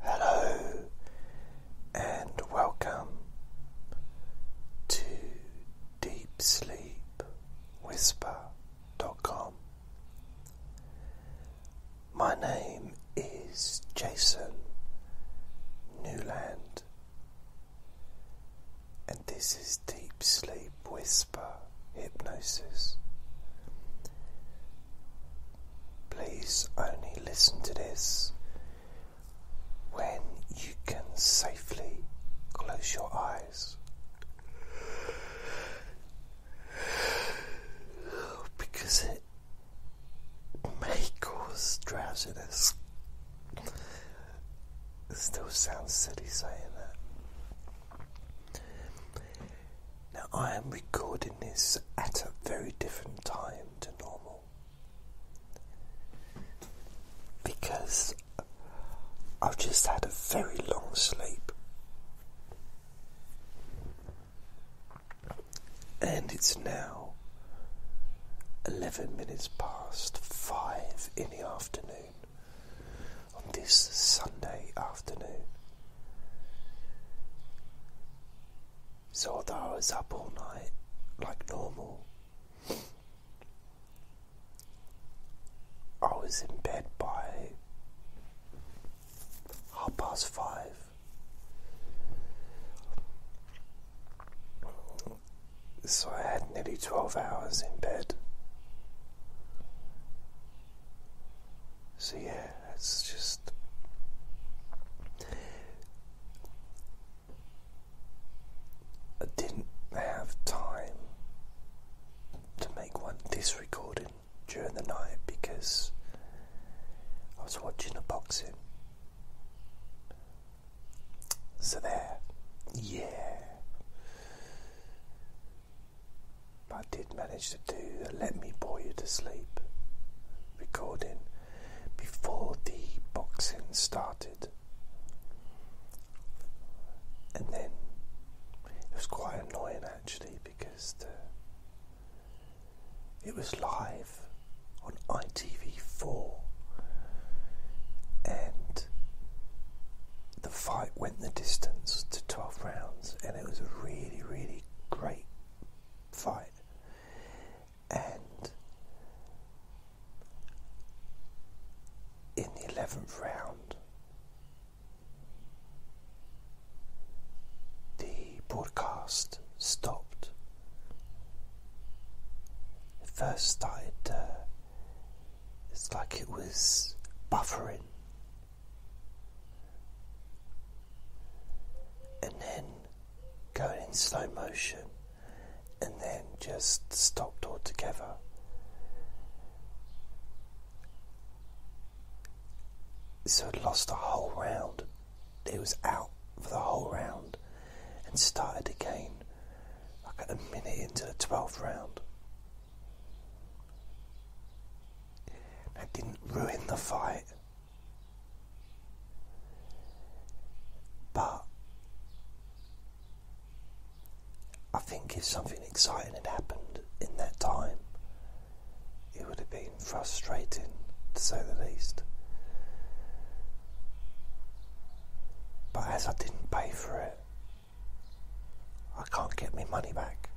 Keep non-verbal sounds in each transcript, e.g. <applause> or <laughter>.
Hello and welcome to Deep Sleep DeepSleepWhisper.com. My name is Jason Newland, and this is Deep Sleep Whisper Hypnosis. Please only listen to this when you can safely close your eyes. Because it may cause drowsiness. It still sounds silly saying that. Now, I am recording this at a very different time to normal because I've just had a very long sleep and it's now 11 minutes past 5 in the afternoon on this Sunday afternoon. So, I was up all night like normal, I was in bed by half past five. So, I had nearly 12 hours in bed. So, yeah, it's just. I didn't have time to make one this recording during the night because I was watching a boxing. So there, yeah. I did manage to do the Let Me Bore You to Sleep recording before the boxing started. And then it was quite annoying actually because the, it was live on ITV4 and the fight went the distance to 12 rounds and it was really, really great, fight. And in the 11th round, the broadcast stopped. It first started, uh, it's like it was buffering and then going in slow motion, and then just stopped altogether. So i lost the whole round. It was out for the whole round and started again like a minute into the 12th round. That didn't ruin the fight, but I think if something exciting had happened in that time, it would have been frustrating to say the least. But as I didn't pay for it, I can't get my money back.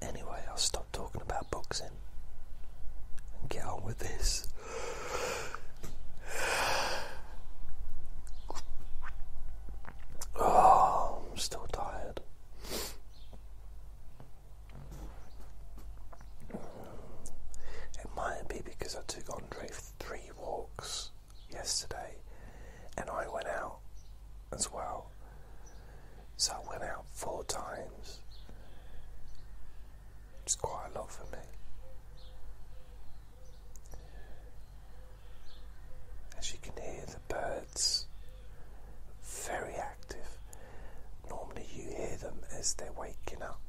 Anyway, I'll stop talking about boxing and get on with this. <sighs> Oh, I'm still tired. It might be because I took Andre three walks yesterday, and I went out as well. So I went out four times. It's quite a lot for me. As you can hear, the birds very active. Normally, you hear them as they're waking up,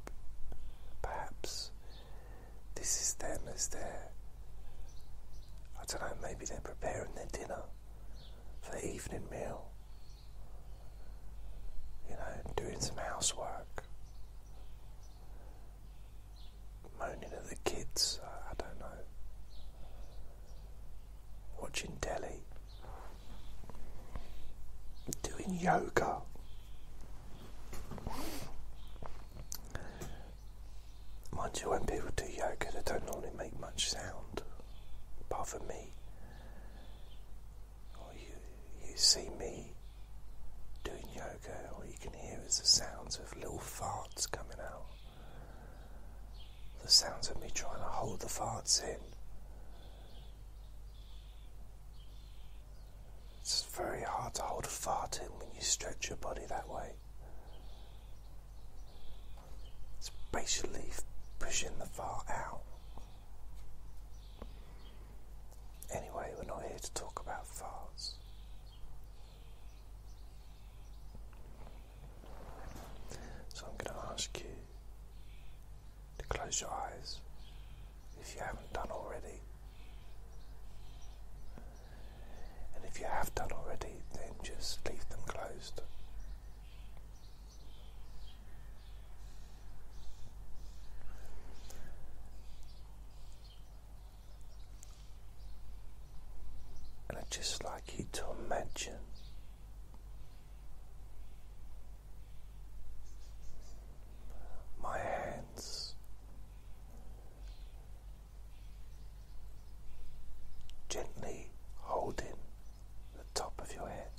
perhaps this is them as their, I don't know, maybe they're preparing their dinner for evening meal, you know, doing some housework, moaning at the kids, I, don't know, watching Delhi. doing yoga. Mind you, when people do yoga, they don't normally make much sound, apart from me. Or you, you see me doing yoga, all you can hear is the sounds of little farts coming out. The sounds of me trying to hold the farts in. It's very hard to hold a fart in when you stretch your body that way. It's basically pushing the fart out. Anyway, we're not here to talk about farts. So I'm going to ask you to close your eyes if you haven't done already. And if you have done already, then just leave them closed. And i just like you to imagine my hands. Gently holding the top of your head,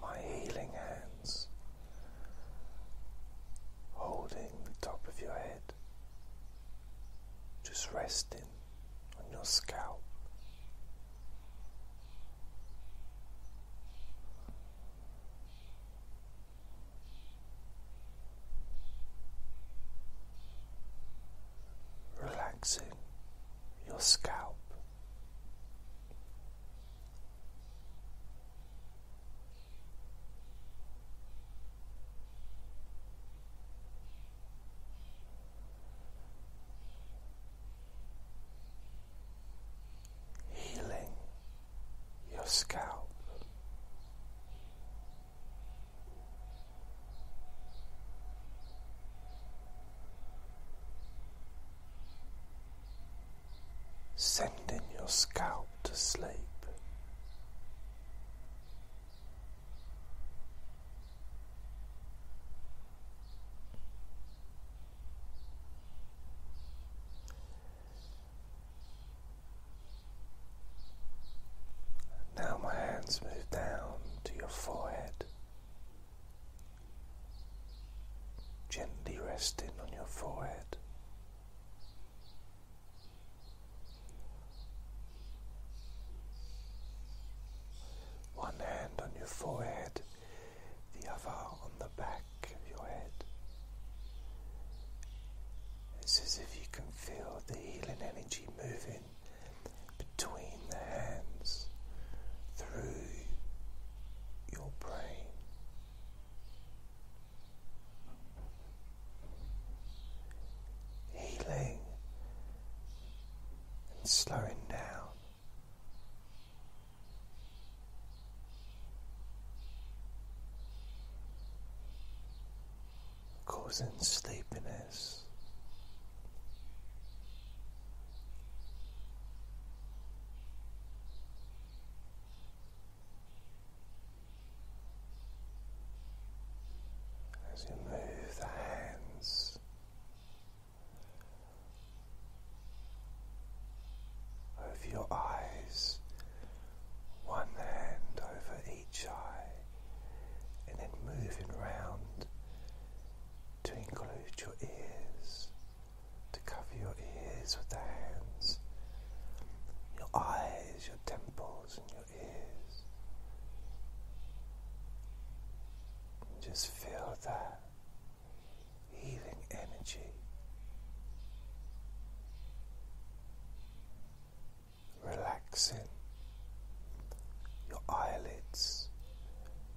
my healing hands holding the top of your head, just resting on your scalp, Relaxing your scalp healing your scalp. Sending your scalp to sleep. Now my hands move down to your forehead, gently resting on your forehead. One hand on your forehead the other on the back of your head. It's as if you can feel the healing energy moving between the hands through your brain. Healing and slowing down causing sleepiness. As you move the hands over your eyes, one hand over each eye, and then moving round to include your ears, to cover your ears with the hands, your eyes, your temples, and your ears. Just feel that healing energy relaxing your eyelids,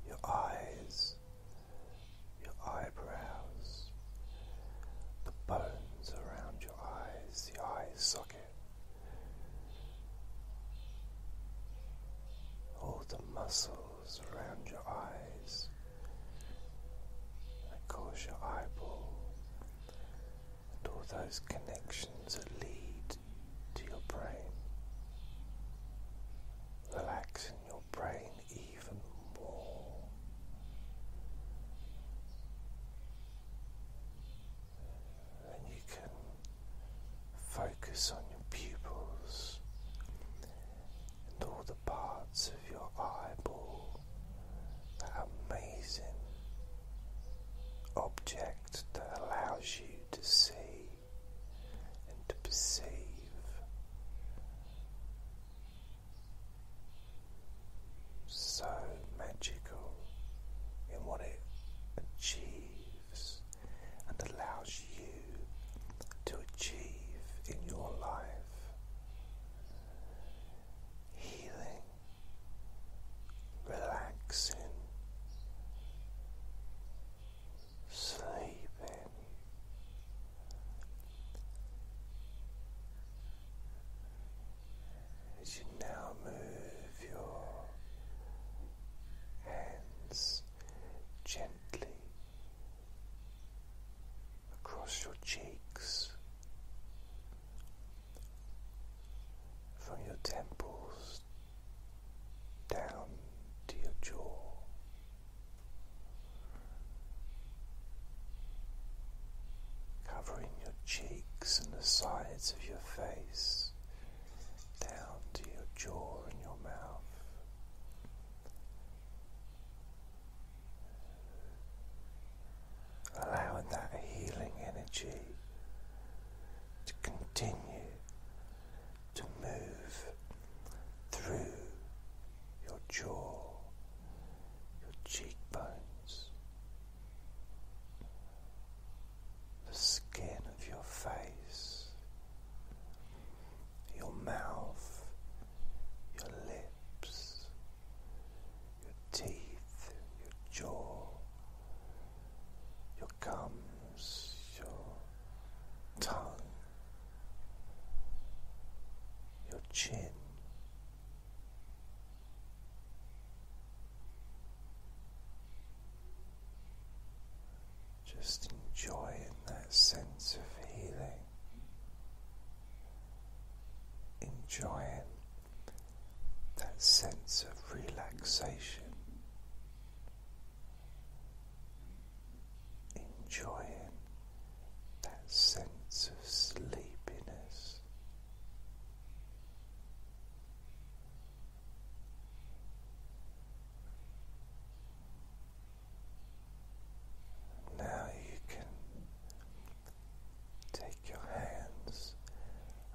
your eyes, your eyebrows, the bones around your eyes, the eye socket all the muscles around your eyes that cause your eyeball and all those connections that lead to your brain. Relaxing your brain even more and you can focus on your pupils and all the parts of your eyeball that amazing object that allows you to see and to perceive. So magical in what it achieves and allows you to achieve in your life. Healing, relaxing, sleeping. As you now move your hands gently across your cheeks, from your temples down to your jaw. Covering your cheeks and the sides of your face, down to your jaw and your mouth. Allowing that healing energy to continue to move through your jaw, your cheekbones, the skin of your face, your mouth, your lips, your teeth, your jaw, your gums, your tongue, your chin. Just enjoying that sense of healing, enjoying that sense of relaxation, enjoying that sense of sleepiness. Now you can take your hands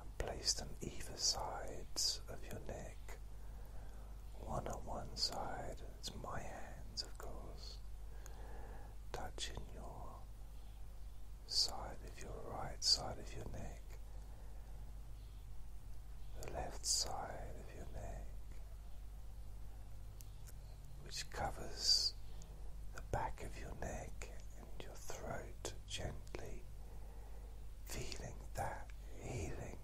and place them either sides of your neck, one on one side, it's my hands, of course, touching your side of your right side of your neck the left side of your neck, which covers the back of your neck and your throat gently, feeling that healing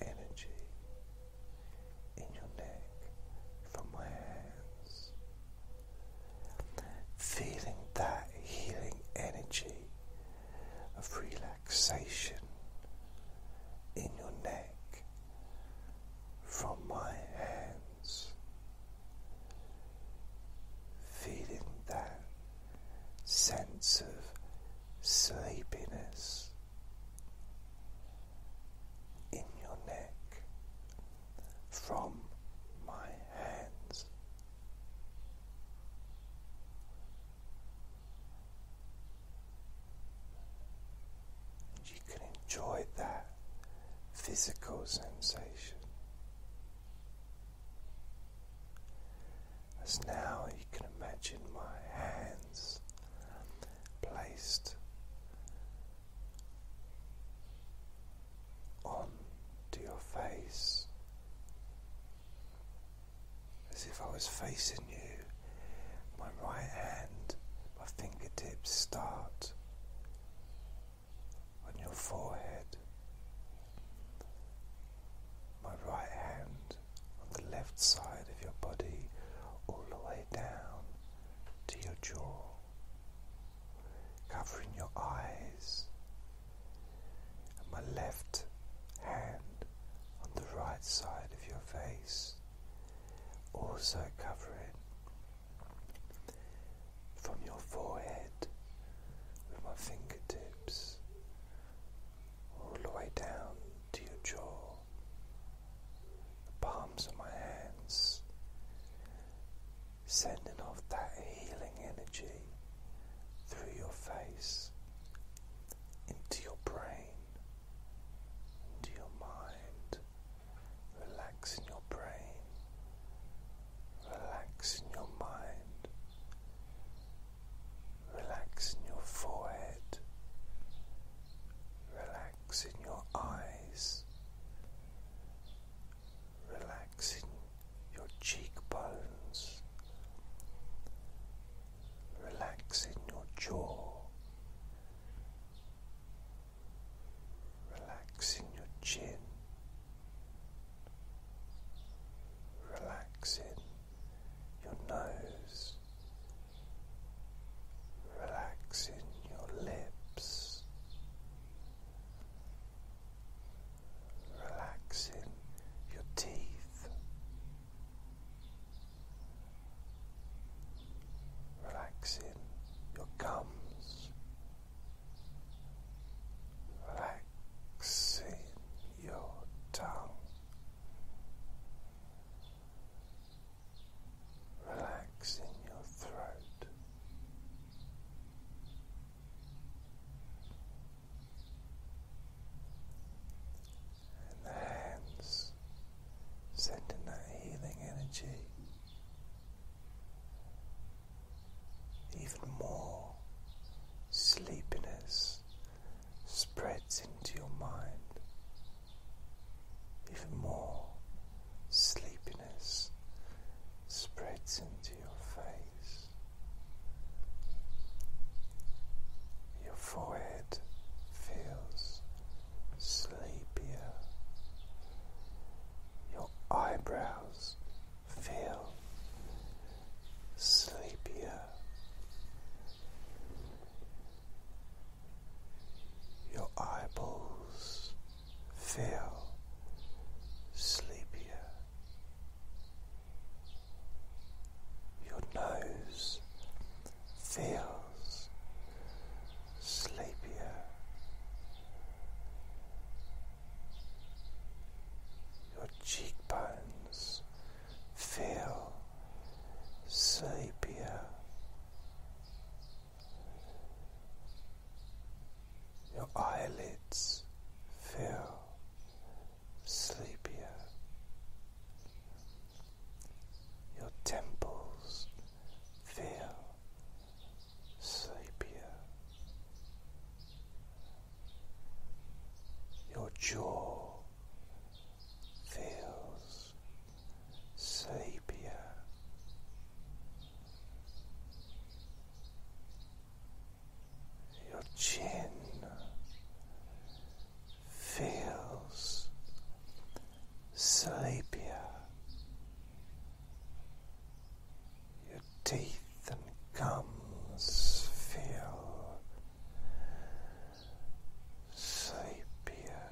energy in your neck from my hands, feeling that healing energy of relaxation in your neck from my hands, feeling that sense of sleepiness in your neck from my hands. And you can enjoy that physical sensation. As now you can imagine my hands placed on to your face as if I was facing you. My right hand, my fingertips start on your forehead, my right hand on the left side of your body, all the way down to your jaw, covering your eyes my left hand on the right side of your face, also covering from your forehead with my fingertips all the way down to your jaw, the palms of my hands sending off that healing energy through your face into your brain, into your mind, relaxing your brain, relaxing your mind, relaxing your forehead, relaxing your eyes, relaxing your cheekbones, relaxing your jaw, relaxing your chin, relaxing your nose, relaxing your lips relaxing your teeth, relaxing your gums, relaxing your tongue. Relaxing your throat, and the hands sending that healing energy even more sleepiness spreads into your mind even more sleepiness spreads into your face, your forehead feels sleepier, your eyebrows feel sleepier. Your eyeballs feel sleepier. Your nose feels sleepier. Your cheekbones feel sleepier. Your eyelids feel sleepier. Your temples feel sleepier. Your jaw feels sleepier. Your chin feels sleepier, your teeth and gums feel sleepier.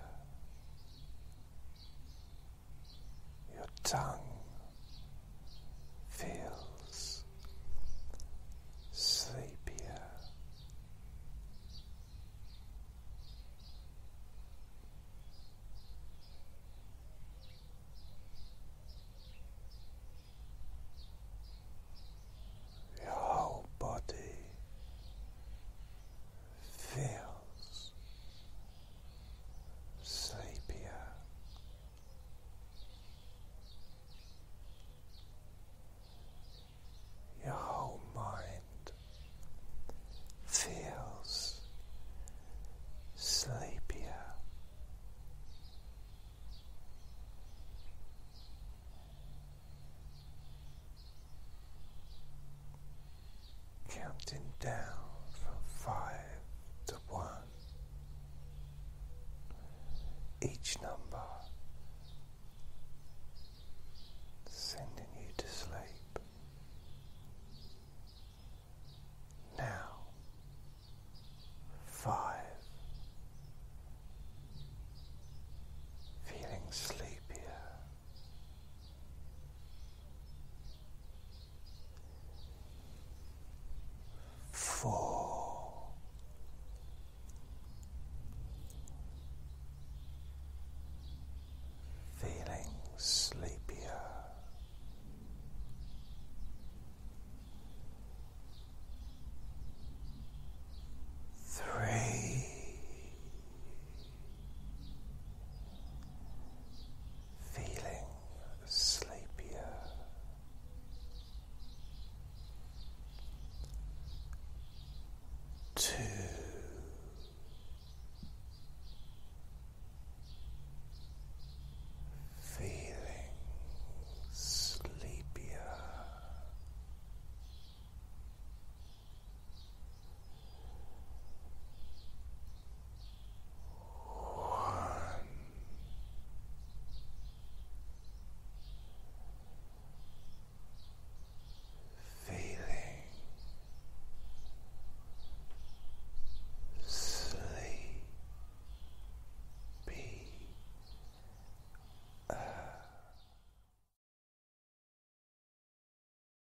Your tongue feels sleepier. Your body feels sleepier. Your whole mind feels sleepier counting down from five to one. Each number sending you to sleep. Now, five. Feeling sleepier four, feeling sleepier. Three, feeling sleepier, two. Feeling sleepier, Feeling sleepy.